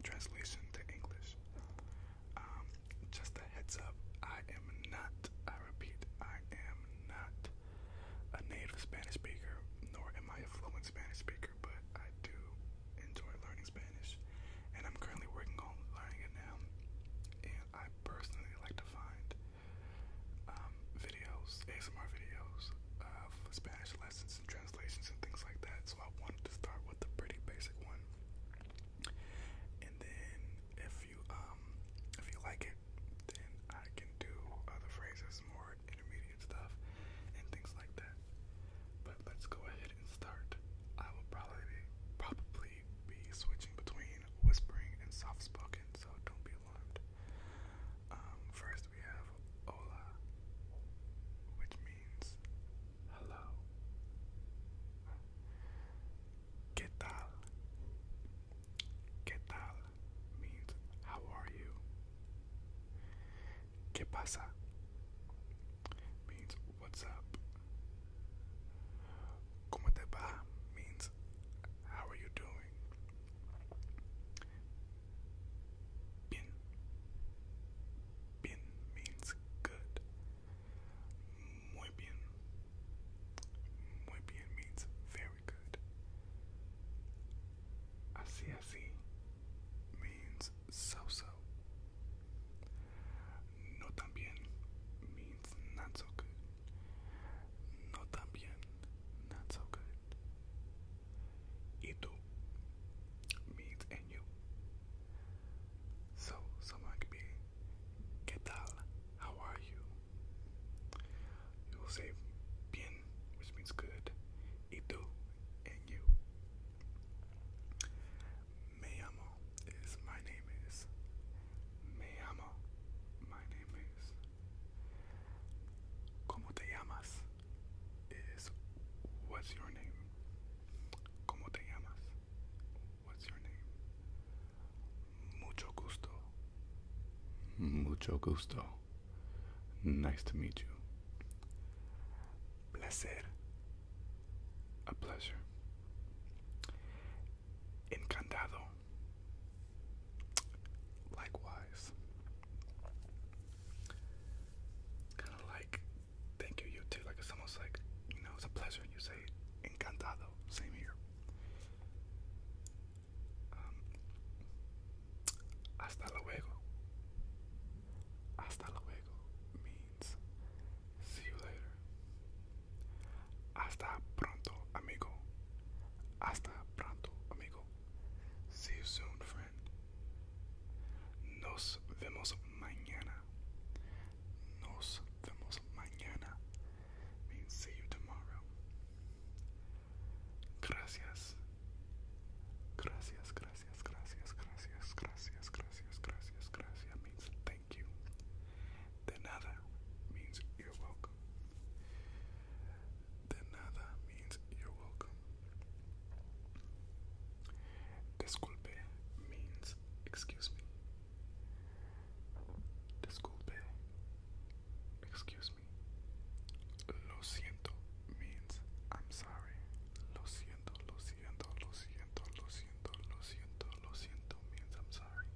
translation to English. Um, just a heads up, I am not, I repeat, I am not a native Spanish speaker, nor am I a fluent Spanish speaker, but I do enjoy learning Spanish, and I'm currently working on learning it now. And I personally like to find um, videos, ASMR videos, of Spanish lessons and translations and things like that. So I wanted to start with a pretty basic one. And then if you um, if you like it, then I can do other phrases, more intermediate stuff and things like that. But let's go ahead and start. I will probably probably be switching between whispering and soft spoken, so don't be alarmed. Um, first we have hola, which means means hello. ¿Qué tal? ¿Qué tal means how are you? ¿Qué pasa? means what's up. ¿Cómo te va? means how are you doing? Bin. Bin means good. Muy bien. Muy bien means very good. Así así means so so. No tan bien means not so good. No tan bien, not so good. Y tú, means and you. So someone could be, ¿Qué How are you? You will say bien, which means good. Y and you. Me amo is my name is. Me amo, my name is. ¿Cómo te llamas? is what's your name? ¿Cómo te llamas? What's your name? Mucho gusto. Mucho gusto. Nice to meet you. Placer. A pleasure. Encantado. Likewise kind of like thank you, you too. Like it's almost like you know it's a pleasure. You say encantado. Same here. Um, hasta luego. Hasta luego means see you later. Hasta pronto, amigo. Hasta pronto, amigo. See you soon, friend children. Nos vemos mañana. Nos vemos mañana means see you tomorrow. Gracias. Gracias, gracias, gracias, gracias, gracias, gracias, gracias, gracias means thank you. De nada means you're welcome. De nada means you're welcome. Disculpe means excuse me. Disculpe, excuse me. Lo siento means I'm sorry. Lo siento, lo siento, lo siento, lo siento, lo siento, lo siento means I'm sorry.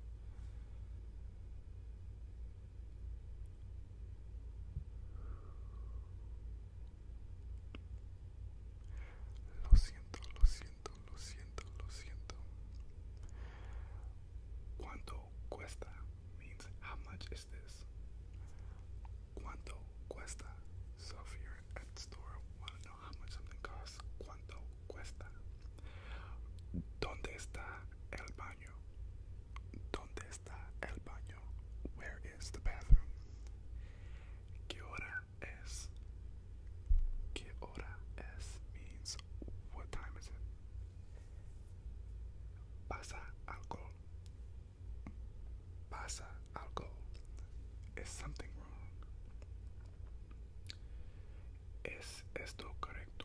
Lo siento, lo siento, lo siento, lo siento. ¿Cuánto cuesta? Means how much is this? ¿Cuánto cuesta? Sofía en at store, want know how much something ¿Cuánto cuesta? ¿Dónde está el baño? ¿Dónde Where is the bathroom? ¿Qué hora es? ¿Qué hora es means what time is it? Pasa alcohol. Pasa alcohol. Is something wrong? ¿Es esto correcto?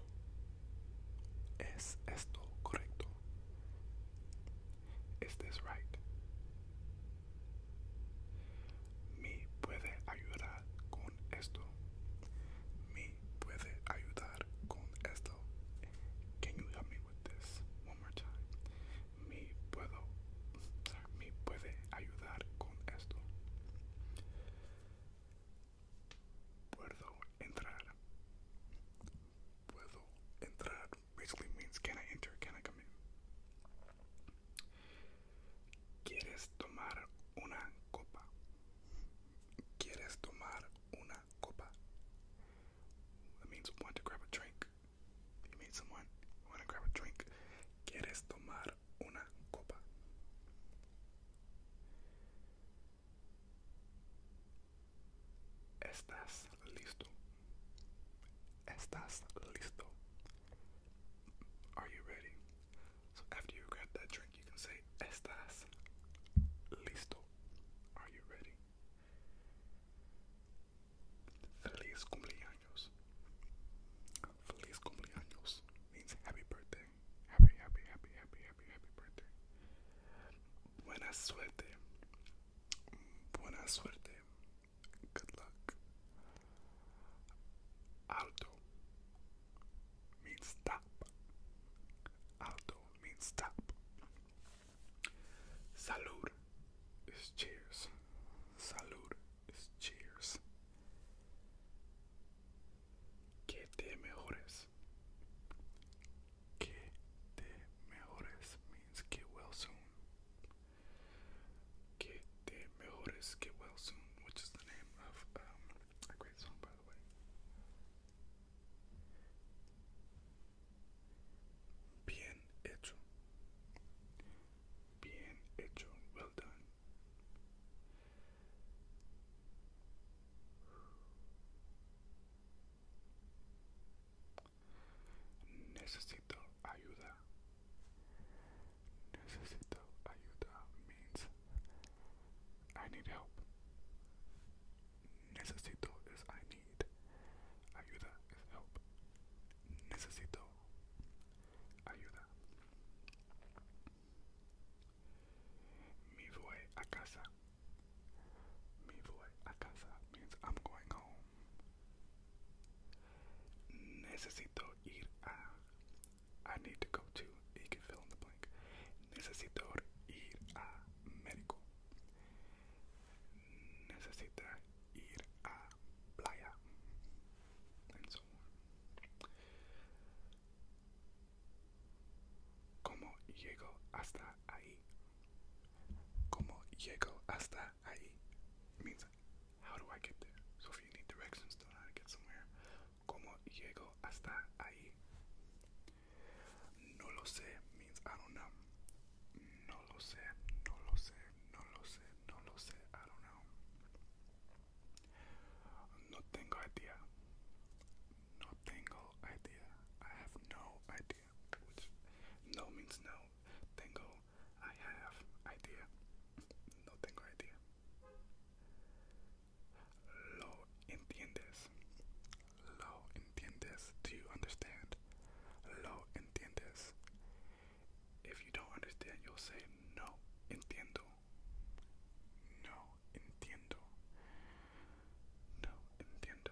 ¿Es esto correcto? Is this right? Me puede ayudar con esto. Me puede ayudar con esto. Can you help me with this one more time? Me puedo. me puede ayudar con esto. Puedo entrar. Puedo entrar basically means can I enter, can I come in? ¿Quieres tomar una copa? ¿Quieres tomar una copa? That means want to grab a drink. You meet someone, want to grab a drink. ¿Quieres tomar una copa? ¿Estás listo? ¿Estás listo? Are you ready? So after you grab that drink, you can say, ¿Estás listo? Are you ready? Feliz cumpleaños. Feliz cumpleaños means happy birthday. Happy, happy, happy, happy, happy, happy birthday. sweat suerte. Buena suerte. Good luck. Alto means stop. Alto means stop. Salud is cheers. Salud is cheers. Que te mejores. Que te mejores means get well soon. Que te mejores get well soon, which is the name of um, a great song, by the way. Bien hecho. Bien hecho. Well done. Necesito ayuda. Necesito ayuda means I need help. Necesito is I need. Ayuda is help. Necesito ayuda. Mi voy a casa. Mi voy a casa means I'm going home. Necesito ir a. I need to go to. You can fill in the blank. Necesito ir a médico. Necesita ir a playa. And so on. ¿Cómo llego hasta ahí? Como llego hasta ahí means how do I get there? So if you need directions to how to get somewhere, como llego hasta ahí. No lo sé means I don't know. No lo sé, no lo sé, no lo sé, no lo sé, I don't know. No tengo idea. No tengo idea. I have no idea no means no. Tengo, I have idea. No tengo idea. Lo entiendes. Lo entiendes. Do you understand? Lo entiendes. If you don't understand, you'll say no entiendo. No entiendo. No entiendo.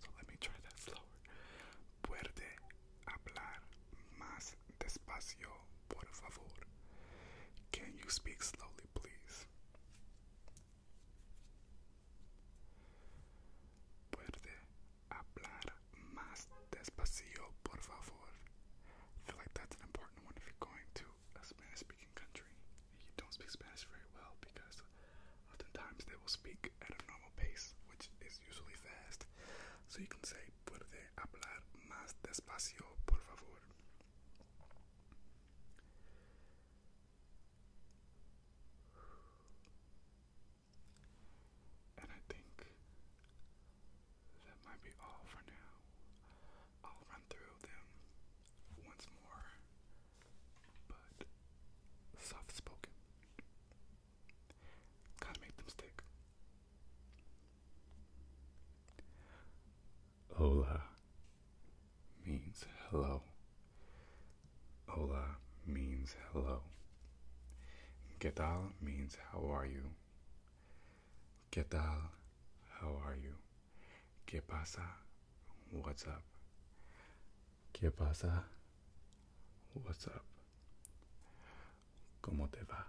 so let me try that slower. Puede hablar más despacio, por favor. Can you speak slowly, please? Puede hablar más despacio, por favor. I feel like that's an important one if you're going to a Spanish-speaking country and you don't speak Spanish very well because oftentimes they will speak at a normal pace, which is usually fast. So you can say, puede hablar más despacio, por favor. And I think that might be all for now. I'll run through them once more, but soft spoken. Gotta them stick. Hola means hello. Hola means hello. ¿Qué tal means how are you? ¿Qué tal? How are you? ¿Qué pasa? What's up? ¿Qué pasa? What's up? ¿Cómo te va?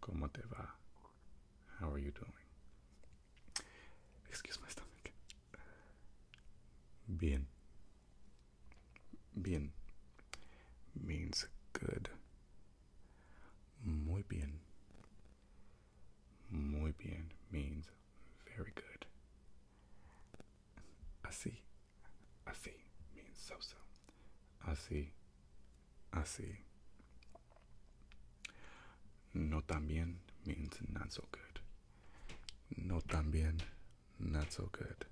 ¿Cómo te va? How are you doing? Excuse my stomach. Bien. Bien means good. Muy bien. Muy bien means very good. I see. I see means so so. Así, así. No tan bien means not so good. No tan not so good.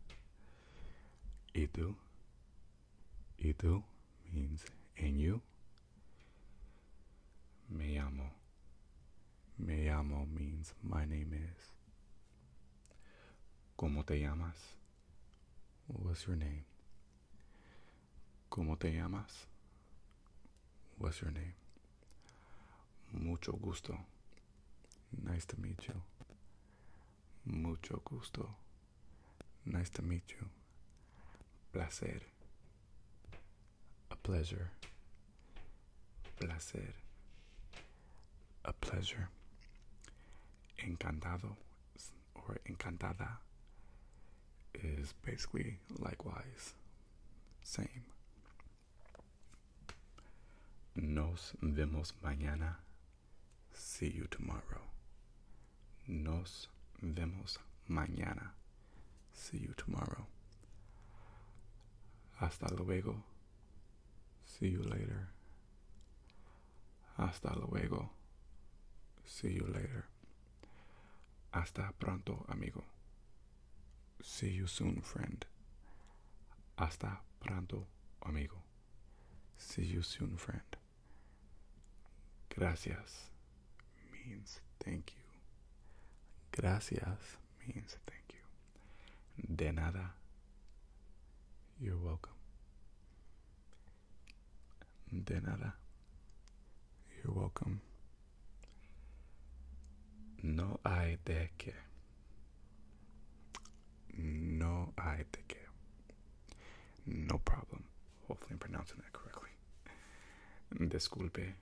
Y tú, means and you. Me llamo, me llamo means my name is. ¿Cómo te llamas? What's your name? ¿Cómo te llamas? What's your name? Mucho gusto. Nice to meet you. Mucho gusto. Nice to meet you. Placer. A pleasure placer, a pleasure, encantado or encantada is basically likewise, same. Nos vemos mañana. See you tomorrow. Nos vemos mañana. See you tomorrow. Hasta luego. See you later. Hasta luego. See you later. Hasta pronto, amigo. See you soon, friend. Hasta pronto, amigo. See you soon, friend. Gracias means thank you. Gracias means thank you. De nada. You're welcome. De nada. You're welcome. No hay de qué. No hay de qué. No problem. Hopefully, I'm pronouncing that correctly. Disculpe.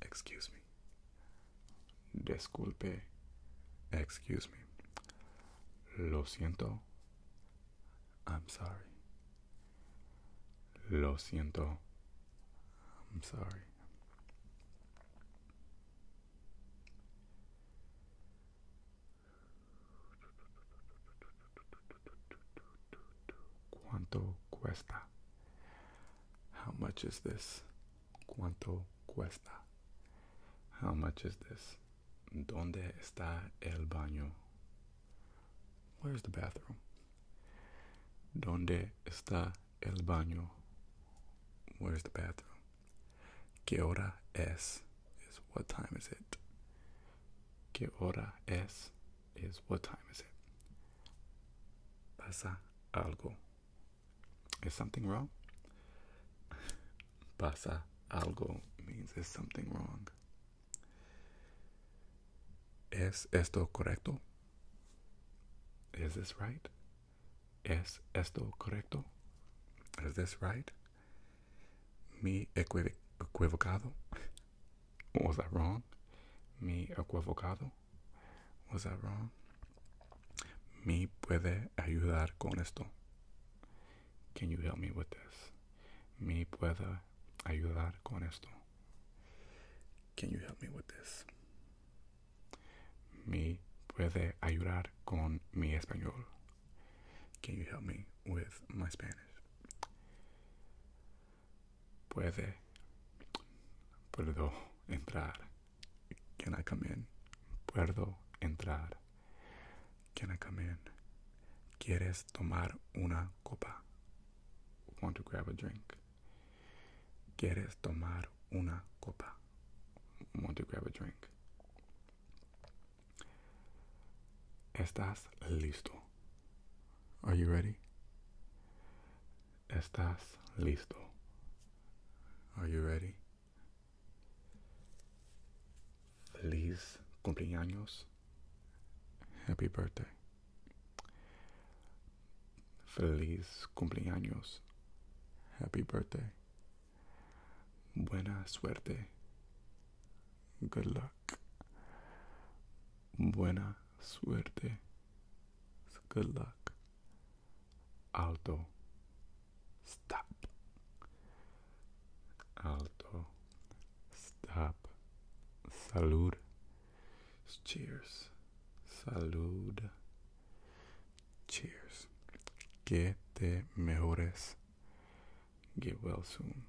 Excuse me. Disculpe, excuse me. Lo siento. I'm sorry. Lo siento. I'm sorry. ¿Cuánto cuesta? How much is this? ¿Cuánto cuesta? How much is this? ¿Dónde está el baño? Where's the bathroom? ¿Dónde está el baño? Where's the bathroom? ¿Qué hora es? Is what time is it? ¿Qué hora es? Is what time is it? Pasa algo. Is something wrong? Pasa algo means is something wrong. ¿Es esto correcto? Is this right? ¿Es esto correcto? Is this right? Mi equiv equivocado? Was I wrong? Mi equivocado? Was that wrong? Me puede ayudar con esto. Can you help me with this? Me puede ayudar con esto. Can you help me with this? Me puede ayudar con mi español. Can you help me with my Spanish? Puede. Puedo entrar. Can I come in? Puedo entrar. Can I come in? ¿Quieres tomar una copa? Want to grab a drink. ¿Quieres tomar una copa? Want to grab a drink. ¿Estás listo? Are you ready? ¿Estás listo? Are you ready? Feliz cumpleaños. Happy birthday. Feliz cumpleaños. Happy birthday. Buena suerte. Good luck. Buena suerte. good luck. Alto. Stop. Alto. Stop. Salud. Cheers. Salud. Cheers. Que te mejores. Get well soon.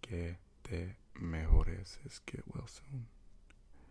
Que te mejores is get well soon.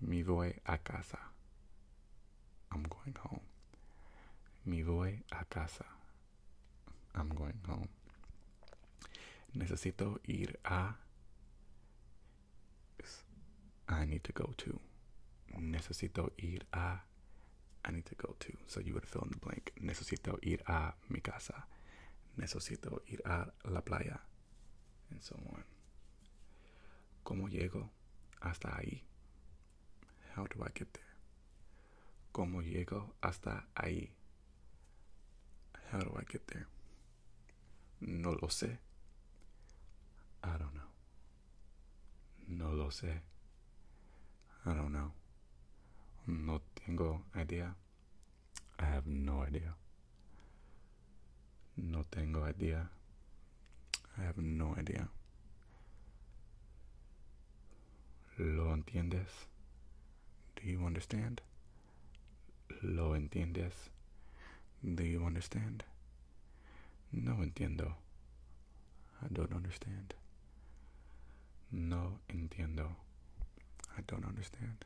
Mi voy a casa. I'm going home. Mi voy a casa. I'm going home. Necesito ir a. I need to go to. Necesito ir a. I need to go to. So you would fill in the blank. Necesito ir a mi casa. Necesito ir a la playa. And so on. ¿Cómo llego hasta ahí? How do I get there? ¿Cómo llego hasta ahí? How do I get there? No lo sé. I don't know. No lo sé. I don't know. No tengo idea. I have no idea. No tengo idea. I have no idea. ¿Lo entiendes? Do you understand? ¿Lo entiendes? Do you understand? No entiendo. I don't understand. No entiendo. I don't understand.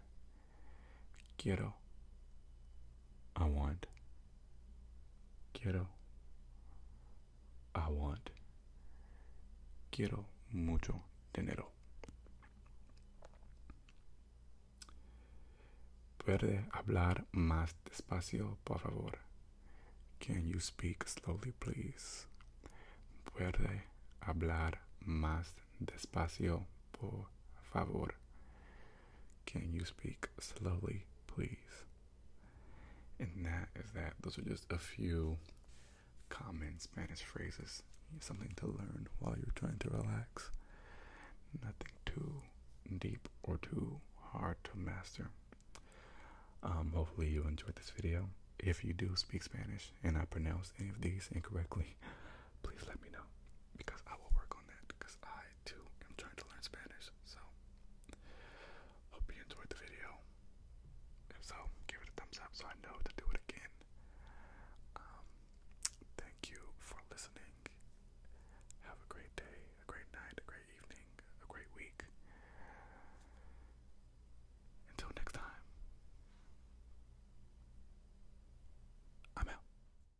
Quiero. I want. Quiero. I want. Quiero mucho dinero. ¿Puede hablar más despacio, por favor? Can you speak slowly, please? ¿Puede hablar más despacio, por favor? Can you speak slowly, please? And that is that. Those are just a few comments, Spanish phrases. Something to learn while you're trying to relax. Nothing too deep or too hard to master. Um, hopefully, you enjoyed this video. If you do speak Spanish and I pronounce any of these incorrectly, please let me know because I will work on that because I I am trying to learn Spanish. So, hope you enjoyed the video. If so, give it a thumbs up so I know to do it again. Um, thank you for listening. Have a great day, a great night, a great evening, a great week. Until next time, I'm out.